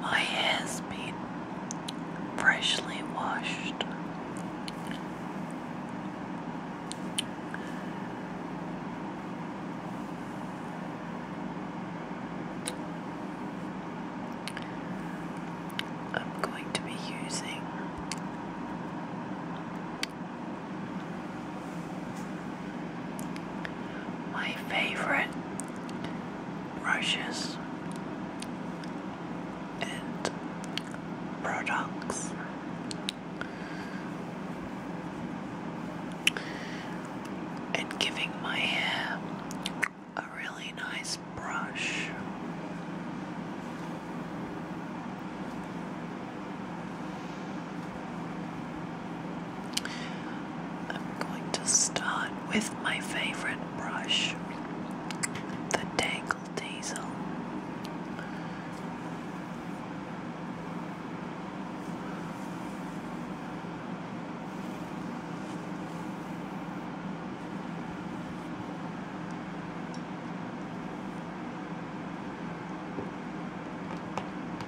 My hair's been freshly washed. I'm going to be using my favorite brushes and products. And giving my hair a really nice brush. I'm going to start with my favorite brush, the Dangle Diesel.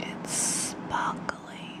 It's sparkly.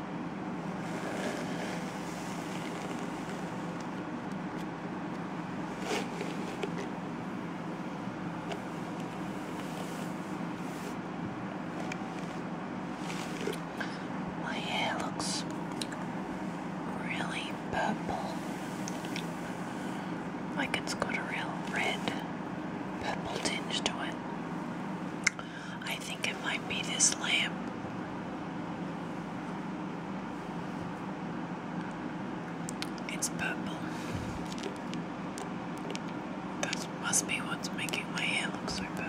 My hair looks really purple, like it's got a real red purple tinge to it. I think it might be this lamp. It's purple. That must be what's making my hair look so purple.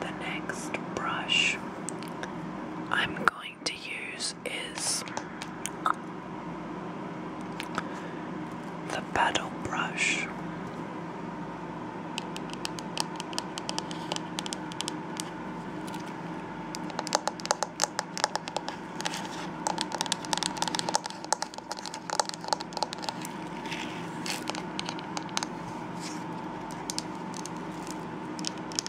The next brush I'm going to use is the paddle brush.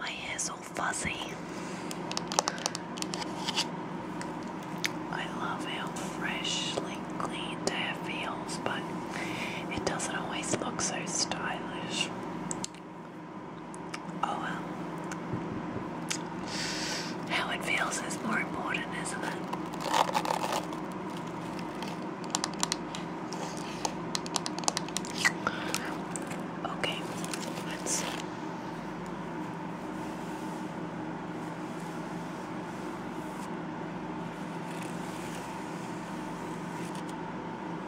My hair's all fuzzy. I love how freshly cleaned hair feels, but it doesn't always look so stylish. Oh well. How it feels is more important, isn't it? Okay, let's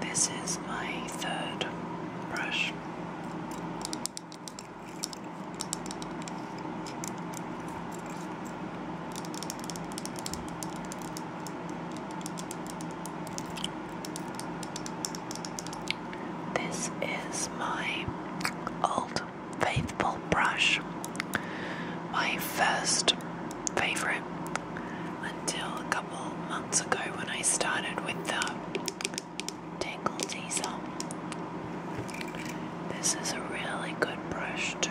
This is my third brush. This is my old faithful brush, my first favorite until a couple months ago when I started with the Tangle Teaser. This is a really good brush, too.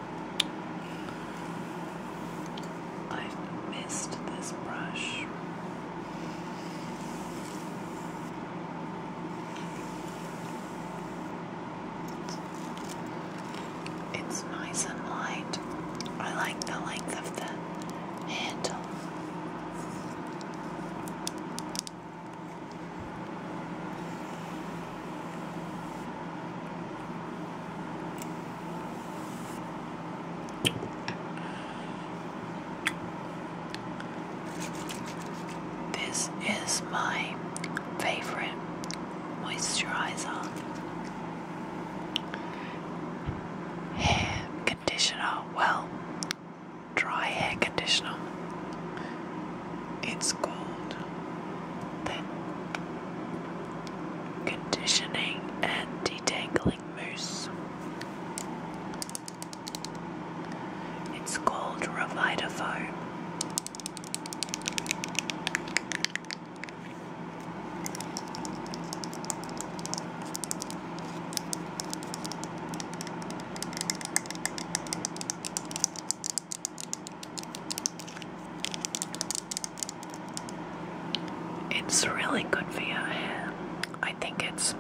I've missed this brush. It's nice and light. I like the length of the handle. This is my favorite moisturizer hair conditioner. Well, dry hair conditioner. It's called the conditioning and detangling mousse. It's called Revitafoam. It's really good for your hair. I think it's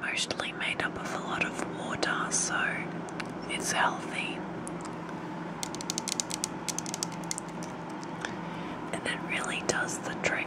mostly made up of a lot of water, so it's healthy. And it really does the trick.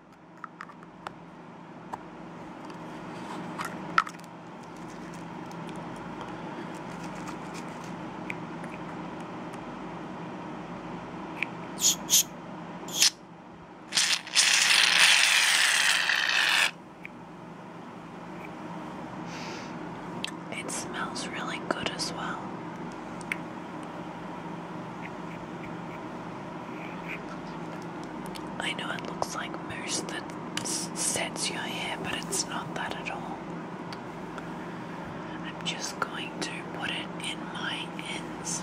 It smells really good as well. I know it looks like mousse that sets your hair, but it's not that at all. I'm just going to put it in my ends.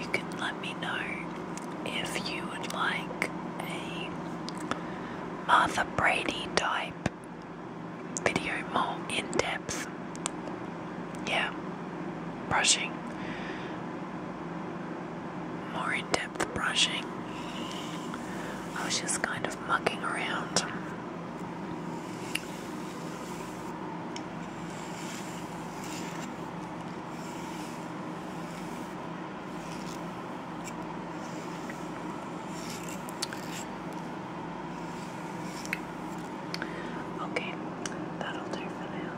You can let me know if you would like a Martha Brady type video more in depth. Yeah, brushing. More in depth brushing. I was just kind of mucking around. Okay, that'll do for now.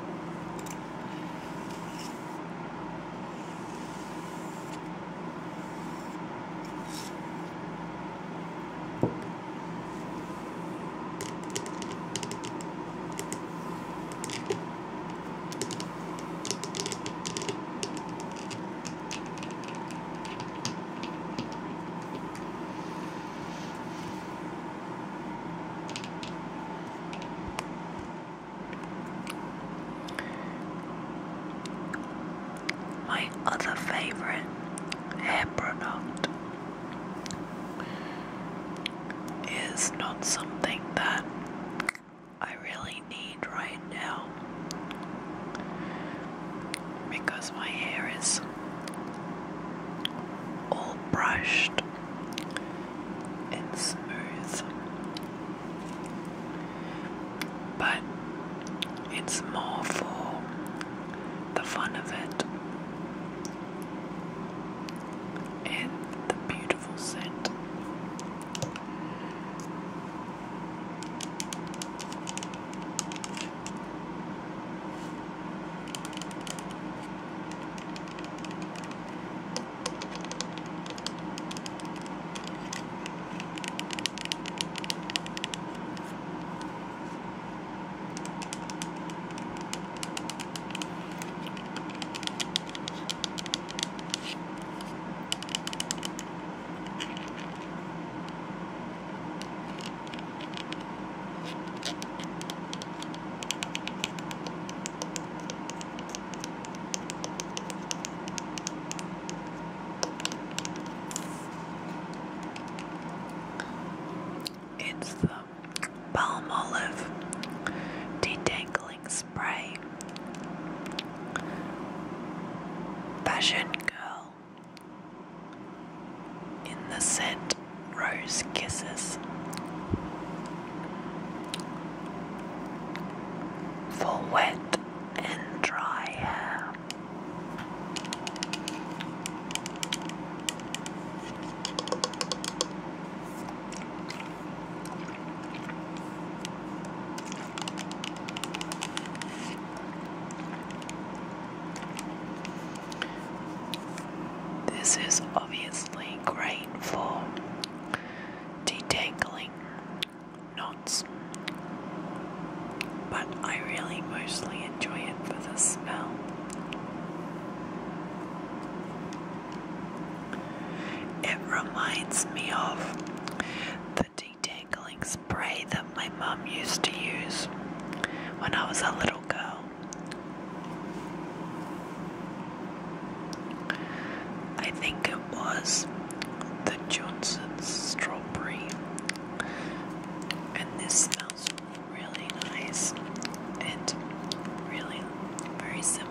My other favorite hair product is not something that I really need right now because my hair is all brushed and smooth, but it's more for the fun of it and the beautiful scent. It's the palm olive, detangling spray, fashion girl, in the scent rose kisses, for wet and dry hair. This is obviously great for detangling knots, but I really mostly enjoy it for the smell. It reminds me of the detangling spray that my mum used to use when I was a little girl. I think it was the Johnson's strawberry, and this smells really nice and really very similar.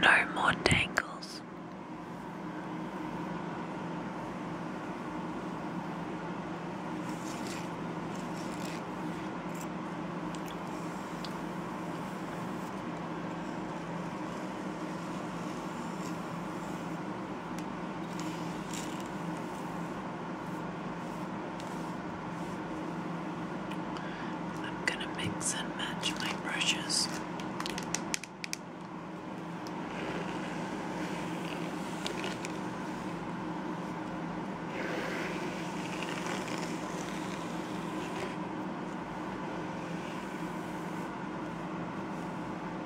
No more tangles. I'm going to mix and match my brushes.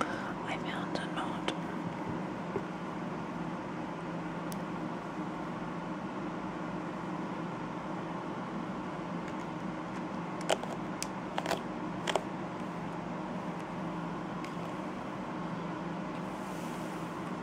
Oh, I found a knot.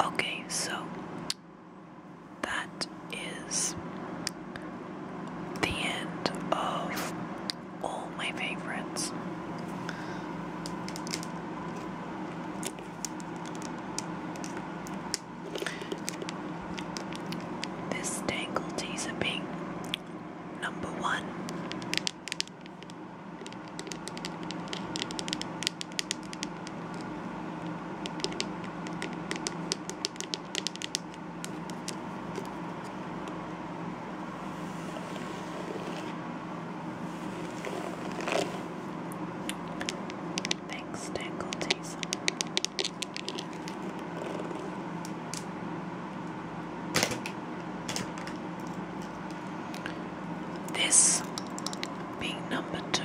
Okay, so that is the end of all my favorites. This tangle teaser being number one. Thanks, Tangle Teaser. This being number two.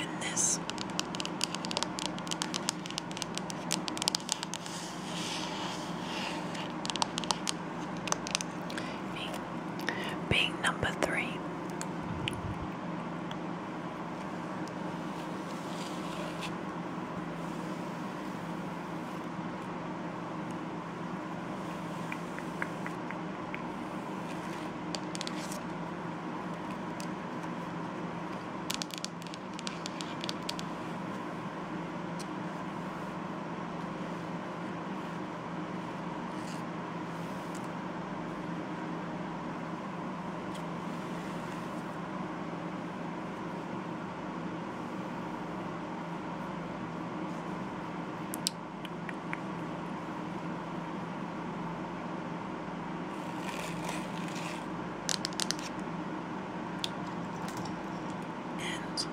And this. Make being number three and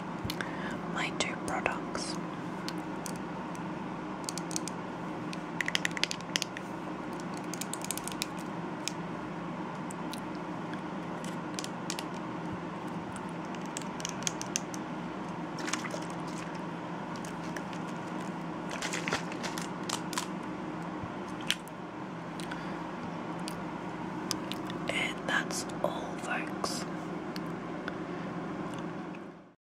my two products and that's all, folks.